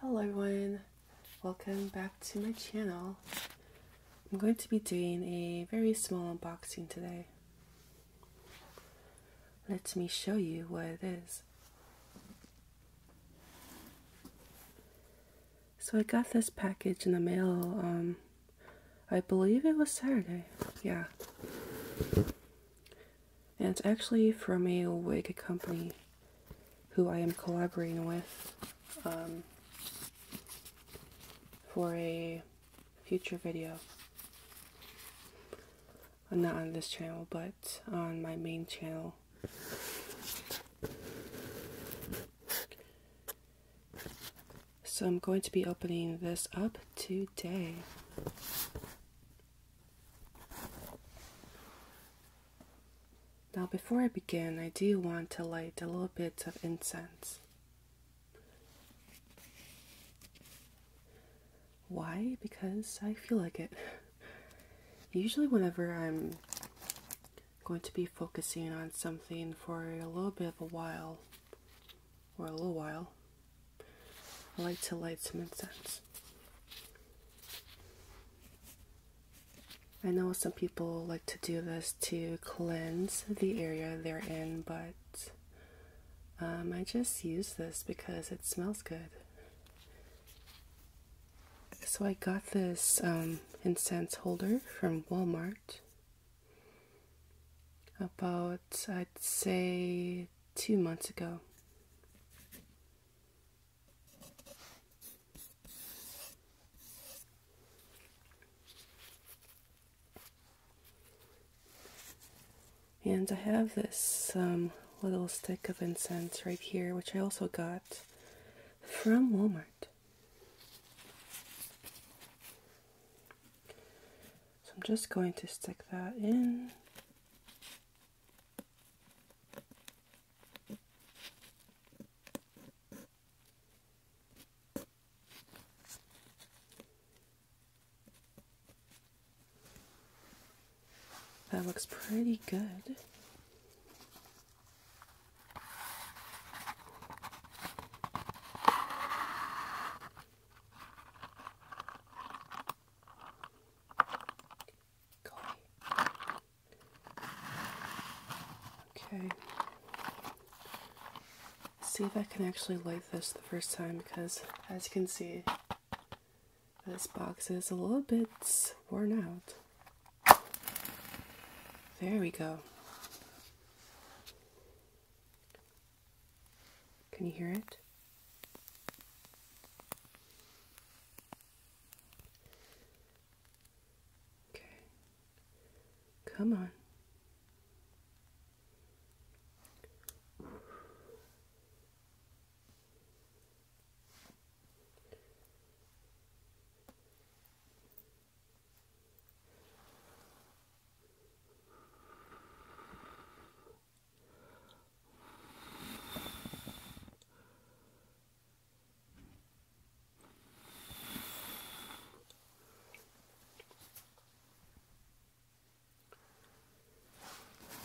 Hello everyone, welcome back to my channel. I'm going to be doing a very small unboxing today. Let me show you what it is. So I got this package in the mail, um, I believe it was Saturday, yeah and it's actually from a wig company who I am collaborating with um, for a future video. Uh, not on this channel, but on my main channel. So I'm going to be opening this up today. Now, before I begin, I do want to light a little bit of incense. Why? Because I feel like it. Usually, whenever I'm going to be focusing on something for a little bit of a while, or a little while, I like to light some incense. I know some people like to do this to cleanse the area they're in, but um, I just use this because it smells good. So I got this um, incense holder from Walmart about, I'd say, two months ago. And I have this um, little stick of incense right here, which I also got from Walmart. So I'm just going to stick that in that looks pretty good. Golly. Okay. see if I can actually light this the first time because, as you can see, this box is a little bit worn out. There we go. Can you hear it? Okay. Come on.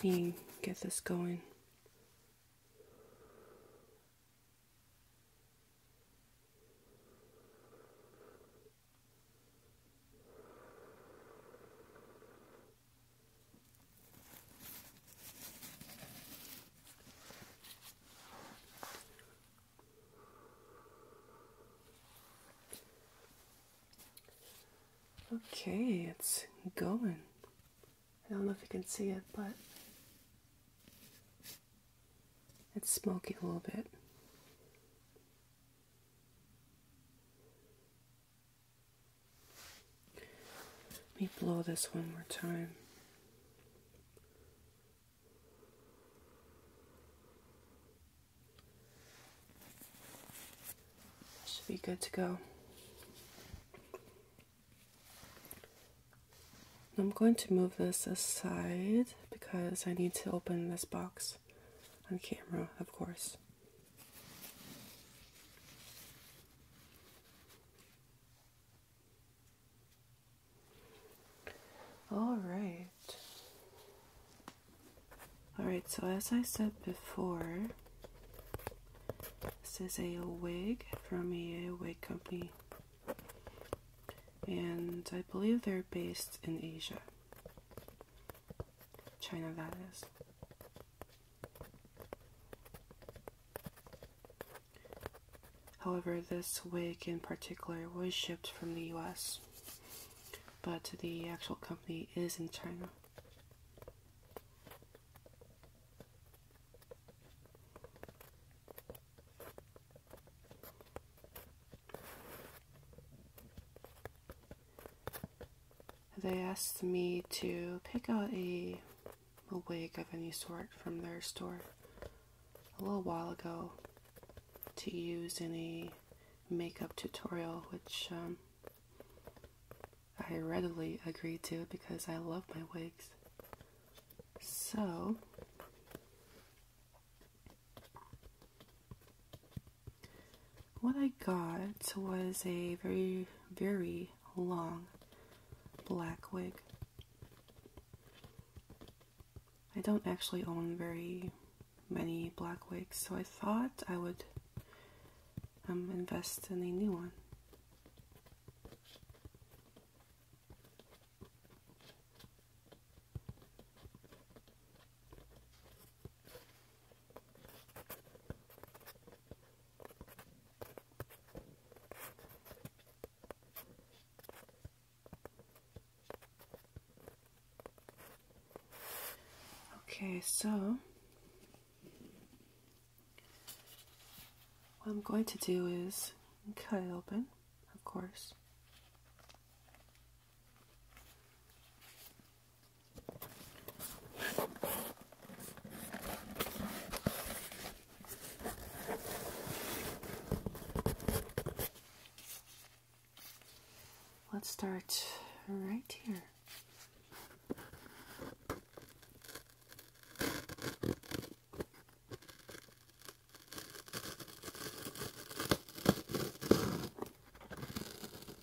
Let me get this going. Okay, it's going. I don't know if you can see it, but it's smoking a little bit. Let me blow this one more time. Should be good to go. I'm going to move this aside because I need to open this box this on camera, of course. All right. All right, so as I said before, this is a wig from a wig company. And I believe they're based in Asia. China, that is. However, this wig in particular was shipped from the US, but the actual company is in China they asked me to pick out a, wig of any sort from their store a little while ago to use in a makeup tutorial, which um, I readily agreed to because I love my wigs. So, what I got was a very, very long black wig. I don't actually own very many black wigs, so I thought I would um, invest in a new one. Okay, so what I'm going to do is cut it open, of course. Let's start right here.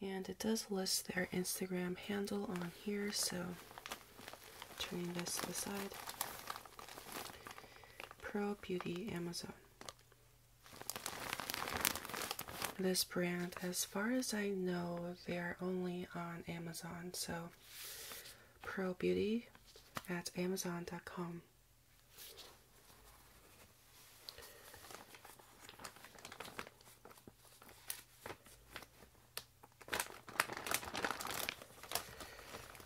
And it does list their Instagram handle on here, so turning this to the side. Pro Beauty Amazon. This brand, as far as I know, they are only on Amazon, so Pro Beauty at Amazon.com.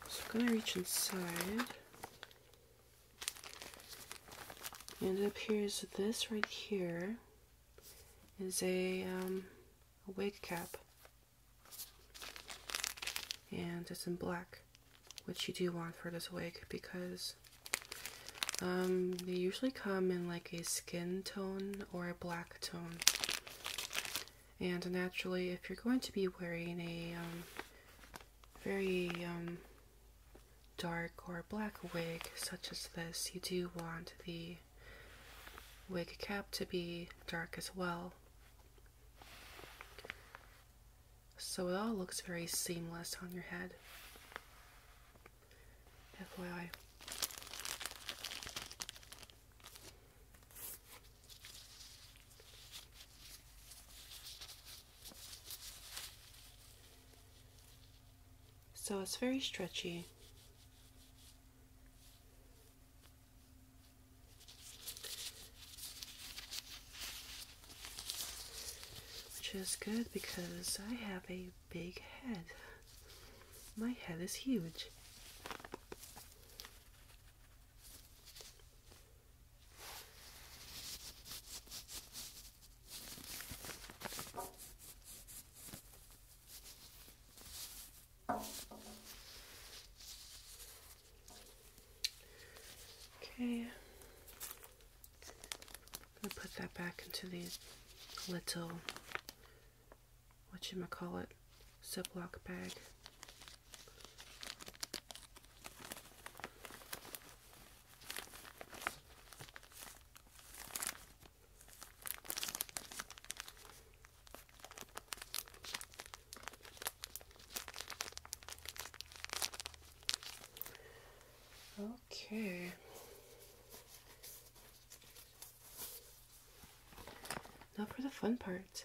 So I'm going to reach inside. And it appears this right here is a um, wig cap. And it's in black which you do want for this wig because um, they usually come in like a skin tone or a black tone. And naturally, if you're going to be wearing a um, very um, dark or black wig such as this, you do want the wig cap to be dark as well so it all looks very seamless on your head. FYI. So it's very stretchy. Which is good because I have a big head. My head is huge. Okay. I'm gonna put that back into these little what you might call it Ziploc bag. Okay. Now for the fun part.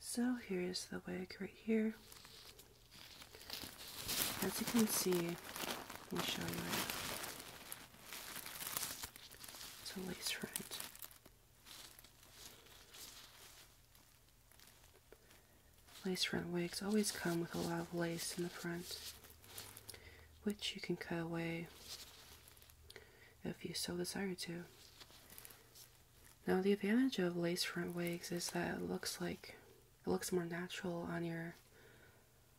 So here is the wig right here. As you can see, let me show you it. It's a lace front. Lace front wigs always come with a lot of lace in the front, which you can cut away if you so desire to. Now the advantage of lace front wigs is that it looks like it looks more natural on your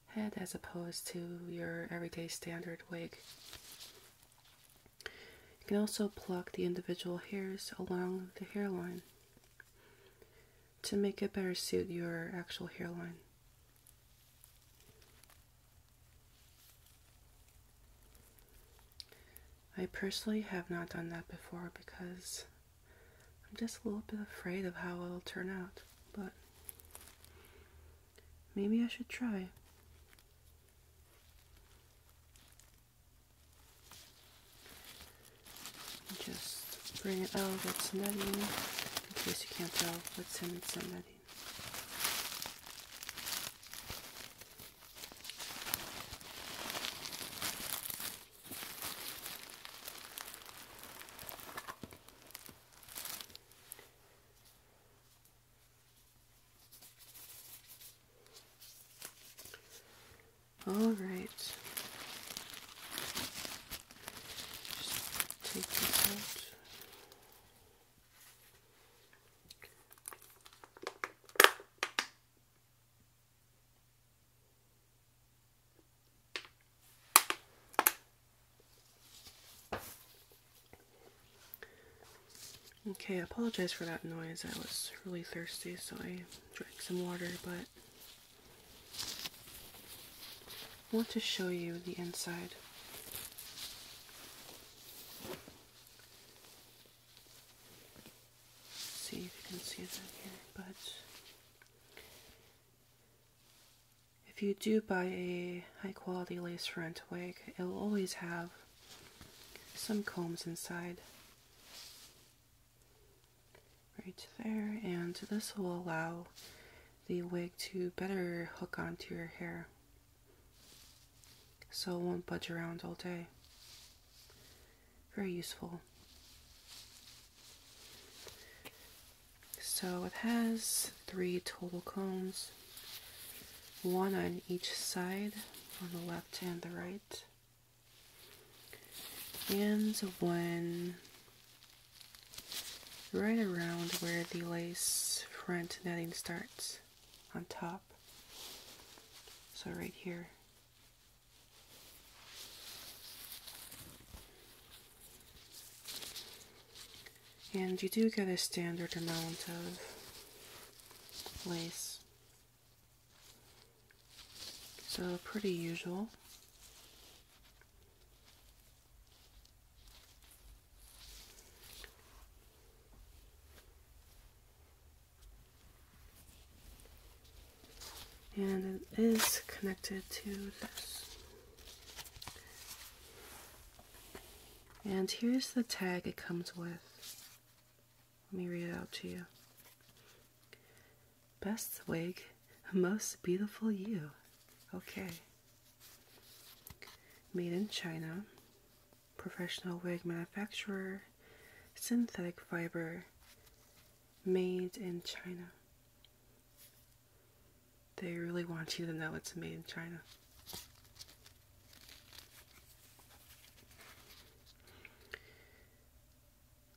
head as opposed to your everyday standard wig. You can also pluck the individual hairs along the hairline to make it better suit your actual hairline. I personally have not done that before because I'm just a little bit afraid of how it'll turn out, but maybe I should try. Just bring it out what's nutty in case you can't tell what's in it's nutty. All right. Just take it out. Okay, I apologize for that noise. I was really thirsty, so I drank some water, but I want to show you the inside. See if you can see that here, but if you do buy a high quality lace front wig, it'll always have some combs inside right there, and this will allow the wig to better hook onto your hair so it won't budge around all day. Very useful. So it has three total combs, one on each side, on the left and the right, and one right around where the lace front netting starts on top. So right here. And you do get a standard amount of lace. So pretty usual and it is connected to this. And here's the tag it comes with. Let me read it out to you. Best wig, most beautiful you. Okay. Made in China, professional wig manufacturer, synthetic fiber, made in China. They really want you to know it's made in China.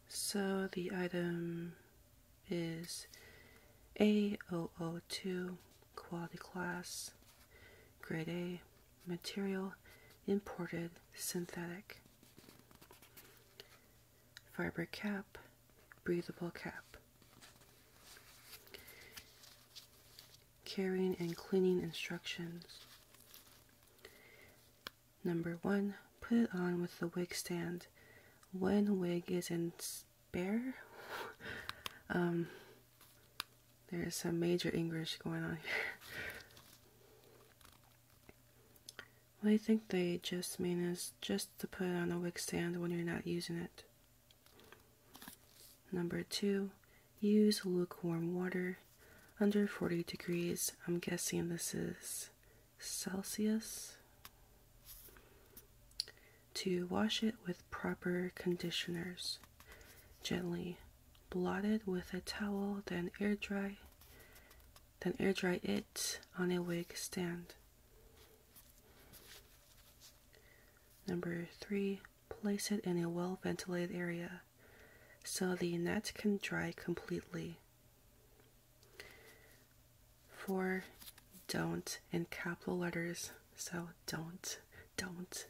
So the item is A002 quality class grade A material imported synthetic fiber cap breathable cap carrying and cleaning instructions number one put it on with the wig stand when wig is not bear. Um, there is some major English going on here. what I think they just mean is just to put it on a wick stand when you're not using it. Number two, use lukewarm water under 40 degrees. I'm guessing this is Celsius to wash it with proper conditioners. Gently blot it with a towel, then air dry, then air dry it on a wig stand. Number three, place it in a well ventilated area so the net can dry completely for don't in capital letters. So don't, don't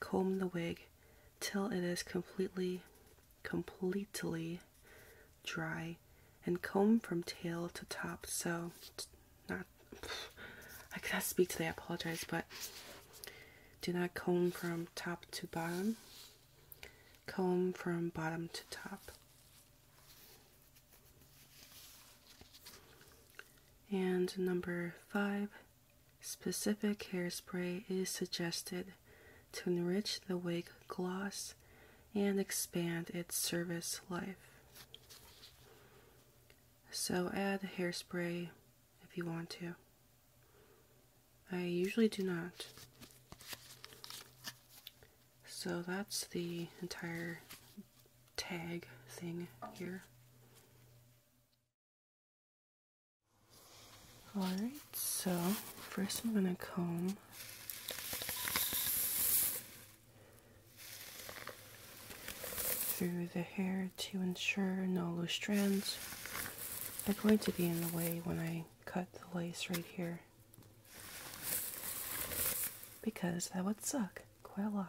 comb the wig till it is completely, completely dry and comb from tail to top. So not, I cannot speak today, I apologize, but do not comb from top to bottom. Comb from bottom to top. And number five, specific hairspray is suggested to enrich the wig gloss and expand its service life. So add hairspray if you want to. I usually do not. So that's the entire tag thing here. Alright, so first I'm going to comb through the hair to ensure no loose strands are going to be in the way when I cut the lace right here. Because that would suck quite a lot.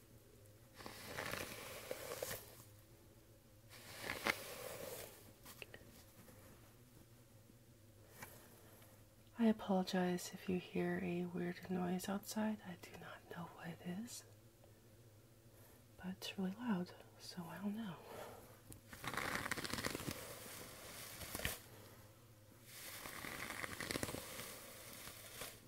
I apologize if you hear a weird noise outside. I do not know what it is, but it's really loud, so I don't know.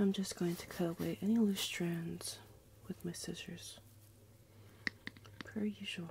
I'm just going to cut away any loose strands with my scissors per usual.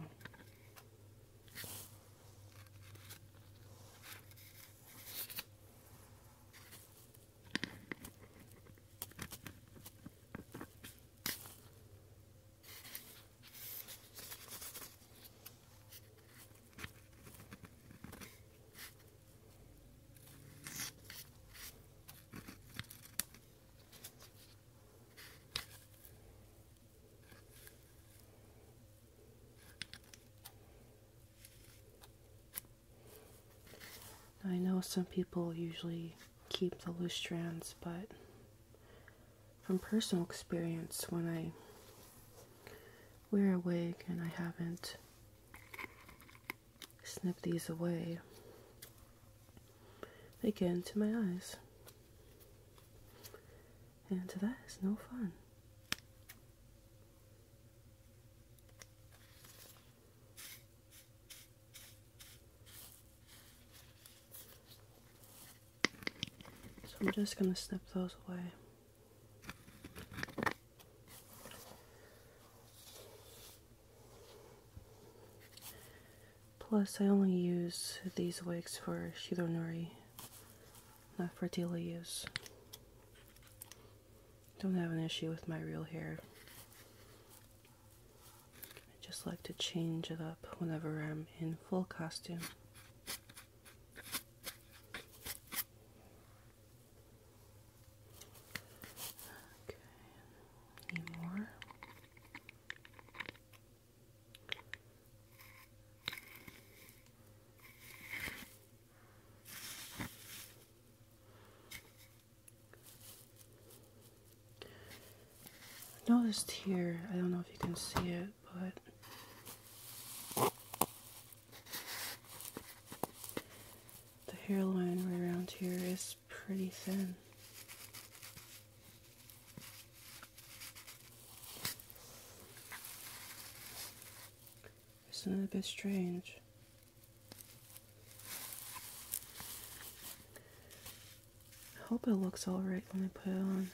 I know some people usually keep the loose strands, but from personal experience, when I wear a wig and I haven't snipped these away, they get into my eyes. And that is no fun. So I'm just going to snip those away. Plus, I only use these wigs for Shironori, not for daily use. Don't have an issue with my real hair. I just like to change it up whenever I'm in full costume. Okay, any more? I noticed here, I don't know if you can see it, but the hairline right around here is pretty thin. Isn't it a bit strange? I hope it looks alright when I put it on.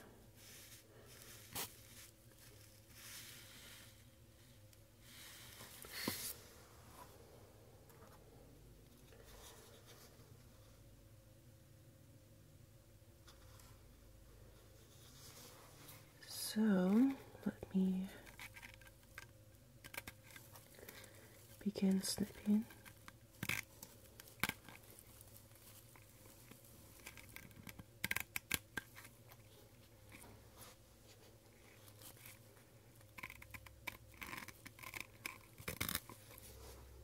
So let me begin snipping.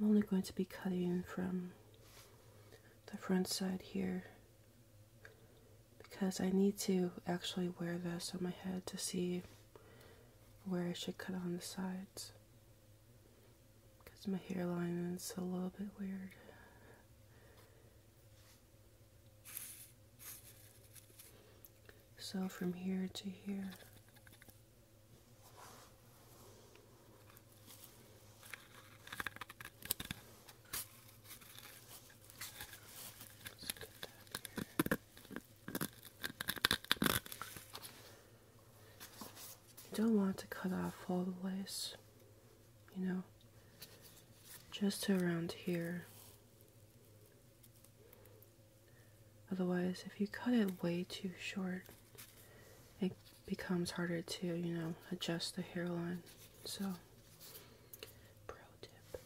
I'm only going to be cutting from the front side here because I need to actually wear this on my head to see where I should cut on the sides because my hairline is a little bit weird. So from here to here. let don't want to cut off all the lace you know, just around here. Otherwise, if you cut it way too short, it becomes harder to, you know, adjust the hairline. So, pro tip.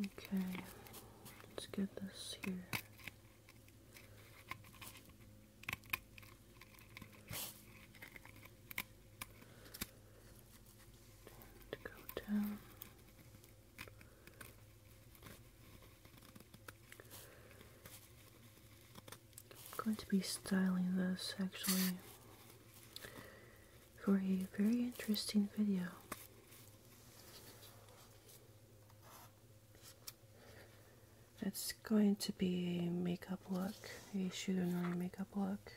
Okay, let's get this here. I'm going to be styling this actually for a very interesting video. It's going to be a makeup look, a shoot and makeup look.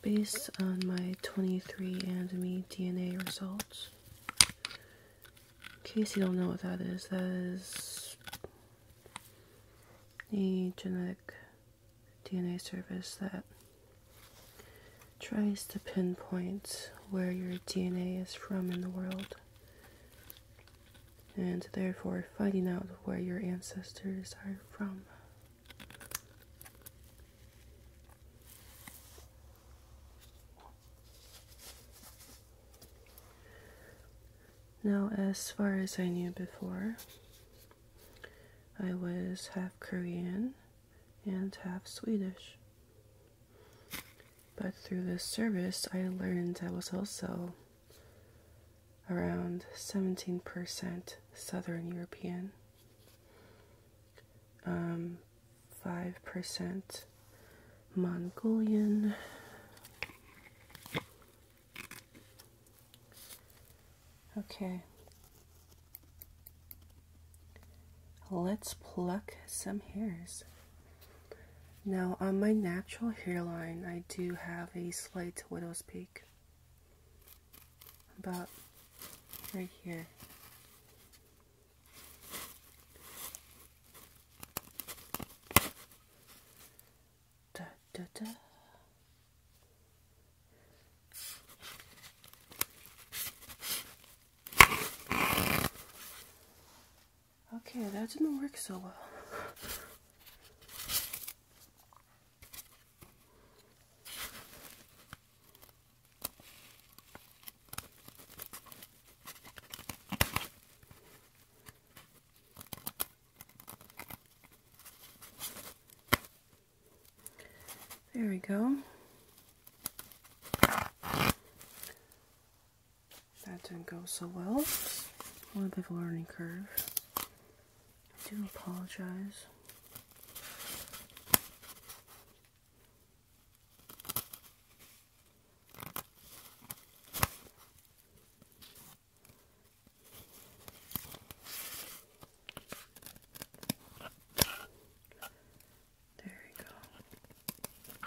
Based on my 23andMe DNA results, in case you don't know what that is, that is a genetic DNA service that tries to pinpoint where your DNA is from in the world and therefore finding out where your ancestors are from. Now, as far as I knew before, I was half Korean and half Swedish. But through this service, I learned I was also around 17% Southern European, 5% um, Mongolian, okay. Let's pluck some hairs. Now, on my natural hairline, I do have a slight widow's peak. About right here. Okay, that didn't work so well. There we go. That didn't go so well. A little bit of a learning curve. I do apologize. There you go.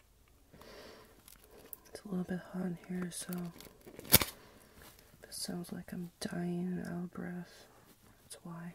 It's a little bit hot in here, so if it sounds like I'm dying out of breath, that's why.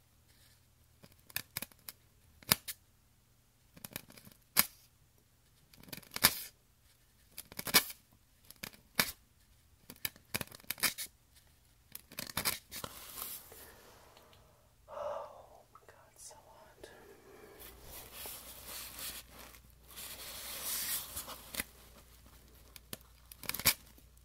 Oh my god, so hot.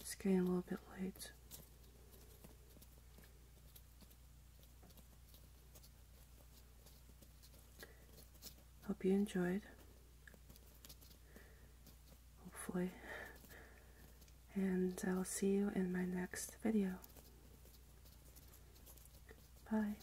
It's getting a little bit late. Hope you enjoyed hopefully. And I will see you in my next video. Bye.